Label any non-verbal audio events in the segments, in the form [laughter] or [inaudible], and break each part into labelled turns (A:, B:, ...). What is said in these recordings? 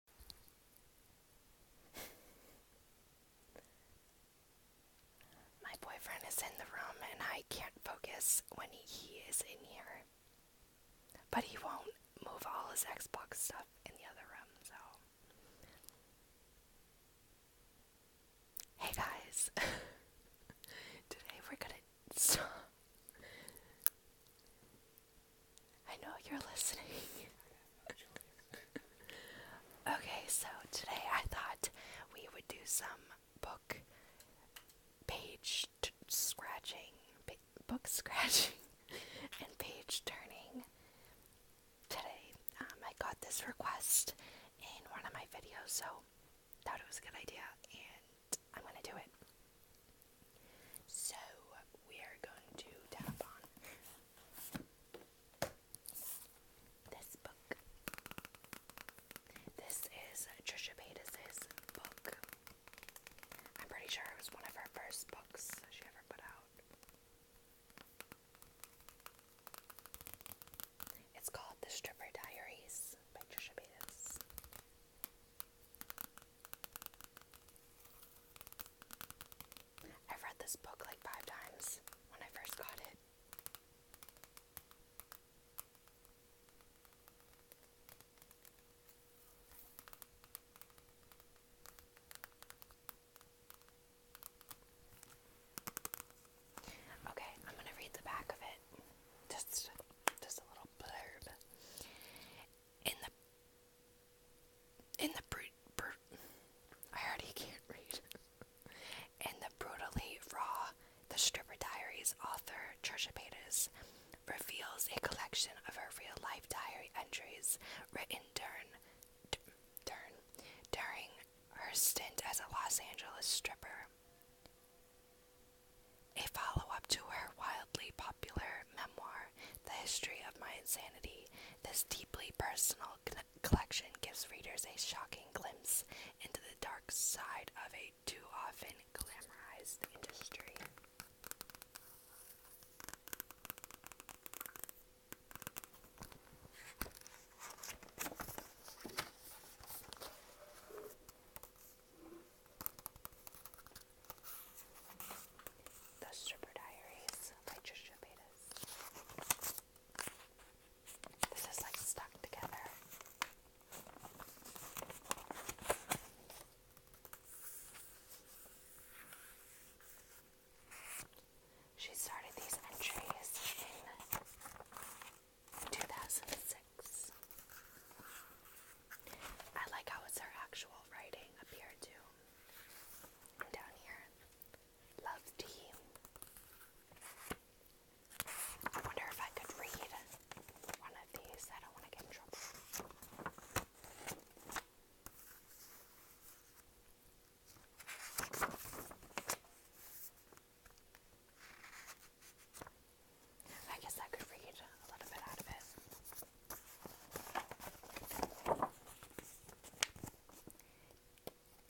A: [laughs] My boyfriend is in the room and I can't focus when he is in here. But he won't move all his Xbox stuff in the other room, so. Hey guys! [laughs] Today we're gonna. [laughs] I know you're listening. [laughs] okay, so today I thought we would do some book page scratching, book scratching, [laughs] and page turning today. Um, I got this request in one of my videos, so thought it was a good idea, and I'm gonna do it. So we are going to tap on this book. This is Trisha Paytas's book. I'm pretty sure it was one of her first books she ever put out. It's called The Stripper Diaries by Trisha Paytas. I've read this book like five times when I first got it. Okay, I'm going to read the back of it. Just just a little blurb in the in the brut, I already can't read. [laughs] in the brutally raw, the Stripper Diaries author Trisha Paytas reveals a collection of her real-life diary entries written during d- during her stint as a Los Angeles stripper. A follow-up to her wildly popular memoir, The History of My Insanity, this deeply personal collection gives readers a shocking glimpse into the dark side of a too often glamorized industry. The Stripper Diaries by Trisha Paytas. This is like stuck together. She started these entries in 2006. I like how it's her actual writing up too. Down here. Love tea. I wonder if I could read one of these. I don't want to get in trouble. I guess I could read a little bit out of it.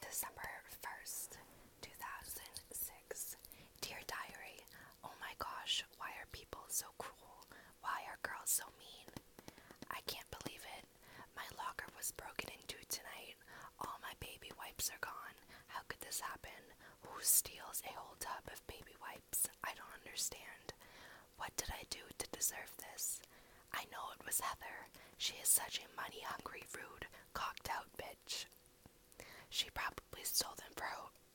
A: December 1st, 2006. Dear Diary, oh my gosh, why are people so cruel? Why are girls so mean? I can't believe it. My locker was broken into tonight. All my baby wipes are gone. How could this happen? Who steals a whole tub of baby wipes? I don't understand. What did I do to deserve this? I know it was Heather. She is such a money hungry, rude, cocked out bitch. She probably stole them for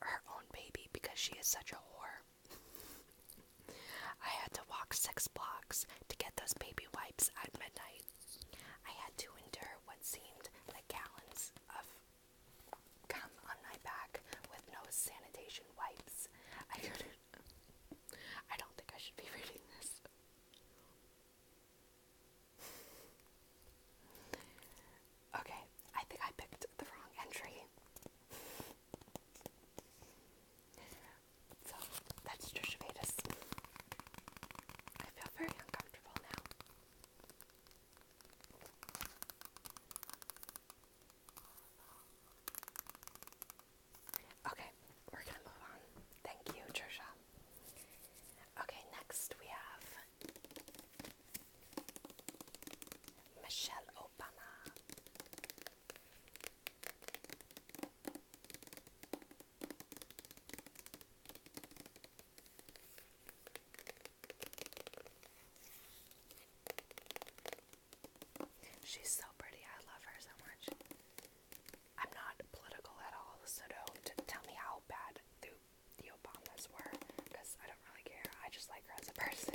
A: her, own baby because she is such a whore. I had to walk six blocks to get those baby wipes at midnight. I had to endure what seemed like gallons of cum on my back with no sanitation wipes. I could I don't think I should be [laughs] reading this. okay, I think I picked the wrong entry. So that's Trisha I feel very uncomfortable now. Okay, we're gonna move on. Thank you, Trisha. Okay, next we have Michelle Obama. She's so pretty. I love her so much. I'm not political at all, so don't tell me how bad the, Obamas were, because I don't really care. I just like her as a person.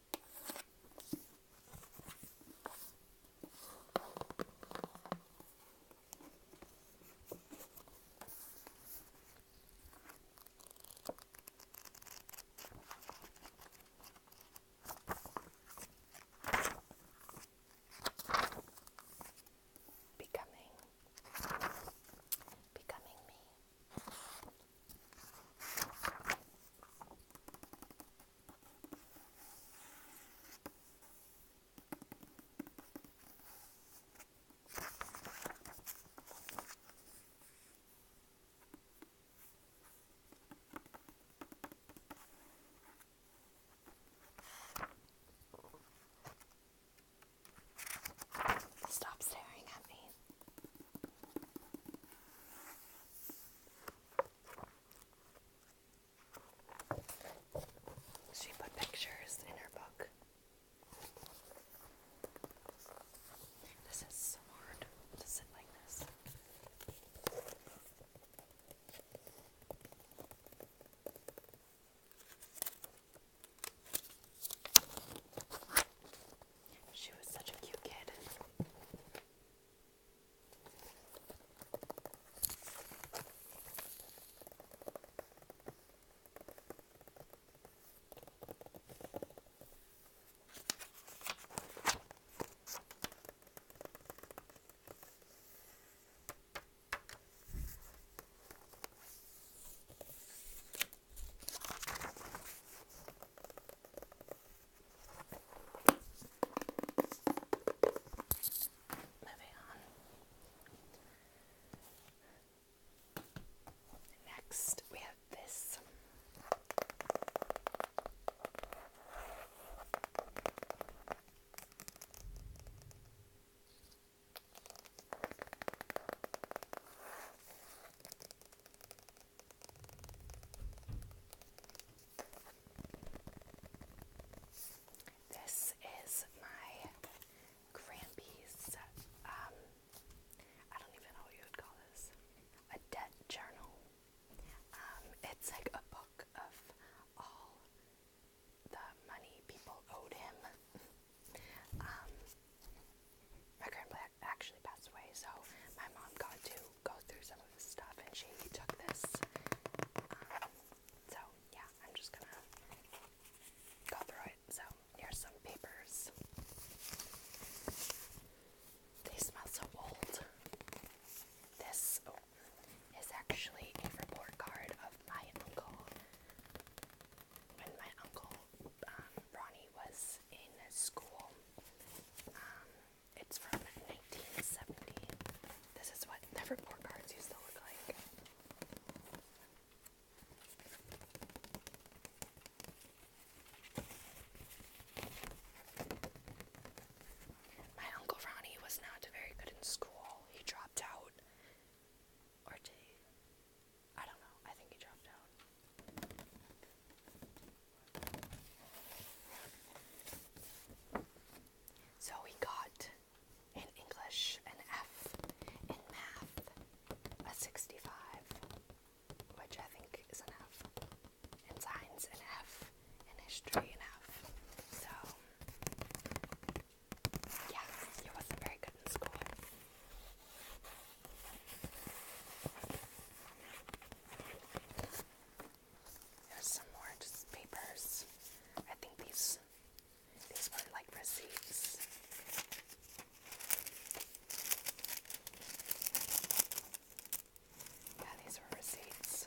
A: Becoming, becoming me. Stop staring at me. She put pictures in her book. This is so hard to sit like this. She was such a cute kid. Moving on. Next, we have this. This is my Grampy's, um, I don't even know what you would call this, a debt journal. Um, it's like a book of all the money people owed him. [laughs] Um, my grandpa actually passed away, so my mom got to go through some of this stuff and she took this. Um, so, yeah, I'm just gonna go through it. So, here's some papers. They smell so old. This oh, is actually a report card of my uncle. When my uncle um, Ronnie was in school. Um, it's from 1970. This is what the report cards used to look like. My Uncle Ronnie was not very good in school. He dropped out. Or did he? I don't know. I think he dropped out. So we got in English an F, in math a 65, which I think is enough. in science an F, in history an F. So, yeah, it wasn't very good in school. There's some more just papers. I think these these were like receipts. Yeah, these were receipts.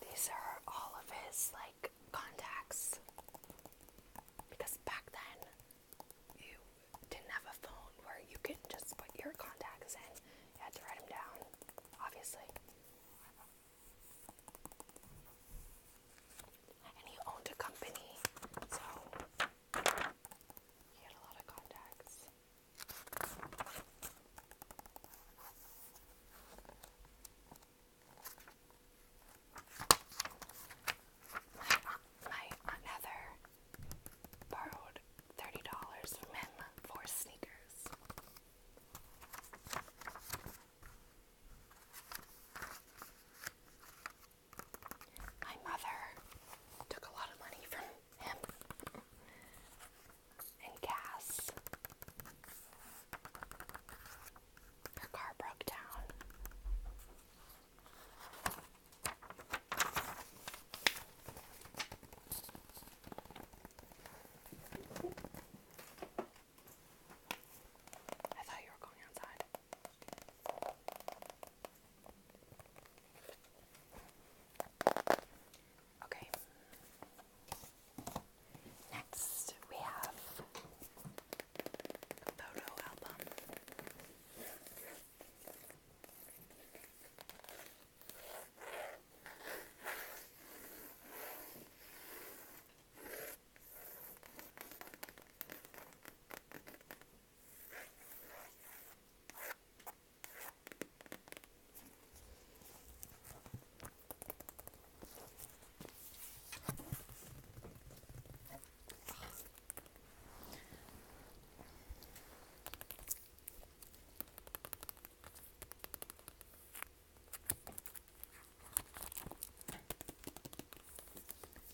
A: These are all of his like contacts because back then you didn't have a phone where you could just put your contacts in. You had to write them down, obviously. And he owned a company, so he had a lot of contacts. My Aunt uh, borrowed $30 from him for sneakers. My mother took a lot of money from him and gas. Her car broke down. I thought you were going outside. Okay. Next, we have photo album.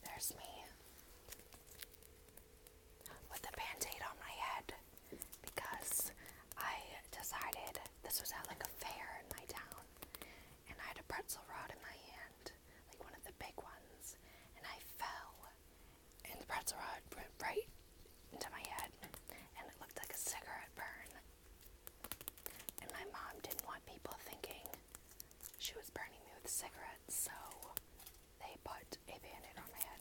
A: There's me with a band on my head because I decided this was at like a fair in my town and I had a pretzel rod in my hand, like one of the big ones, and I fell and the pretzel rod went right into my head and it looked like a cigarette burn. And my mom didn't want people thinking she was burning me with cigarettes, so they put a band aid on my head.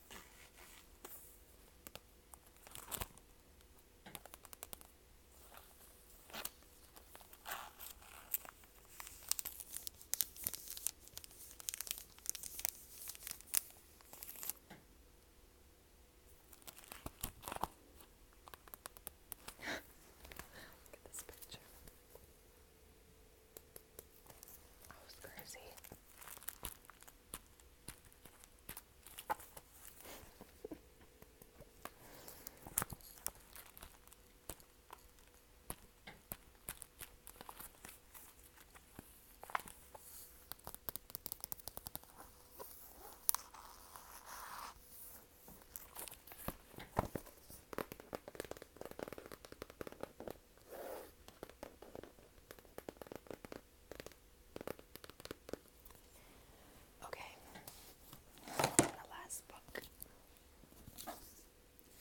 A: Look at this picture. Oh, I was crazy. Okay. The last book.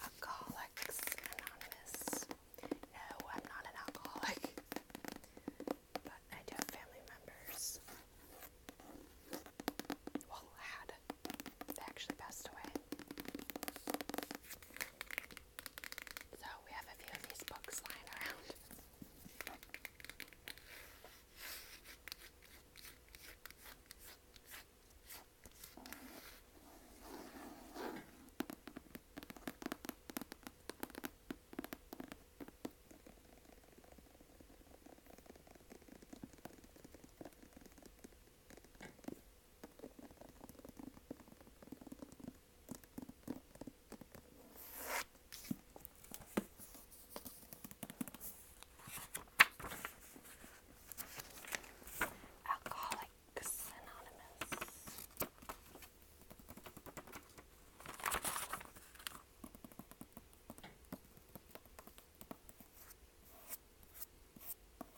A: Alcoholics Anonymous. No, I'm not an alcoholic. But I do have family members. Well, had. They actually passed away. So we have a few of these books lying around. Alcoholics Anonymous.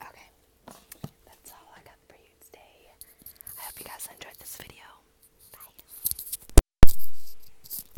A: Okay, that's all I got for you today. I hope you guys enjoyed this video. Bye.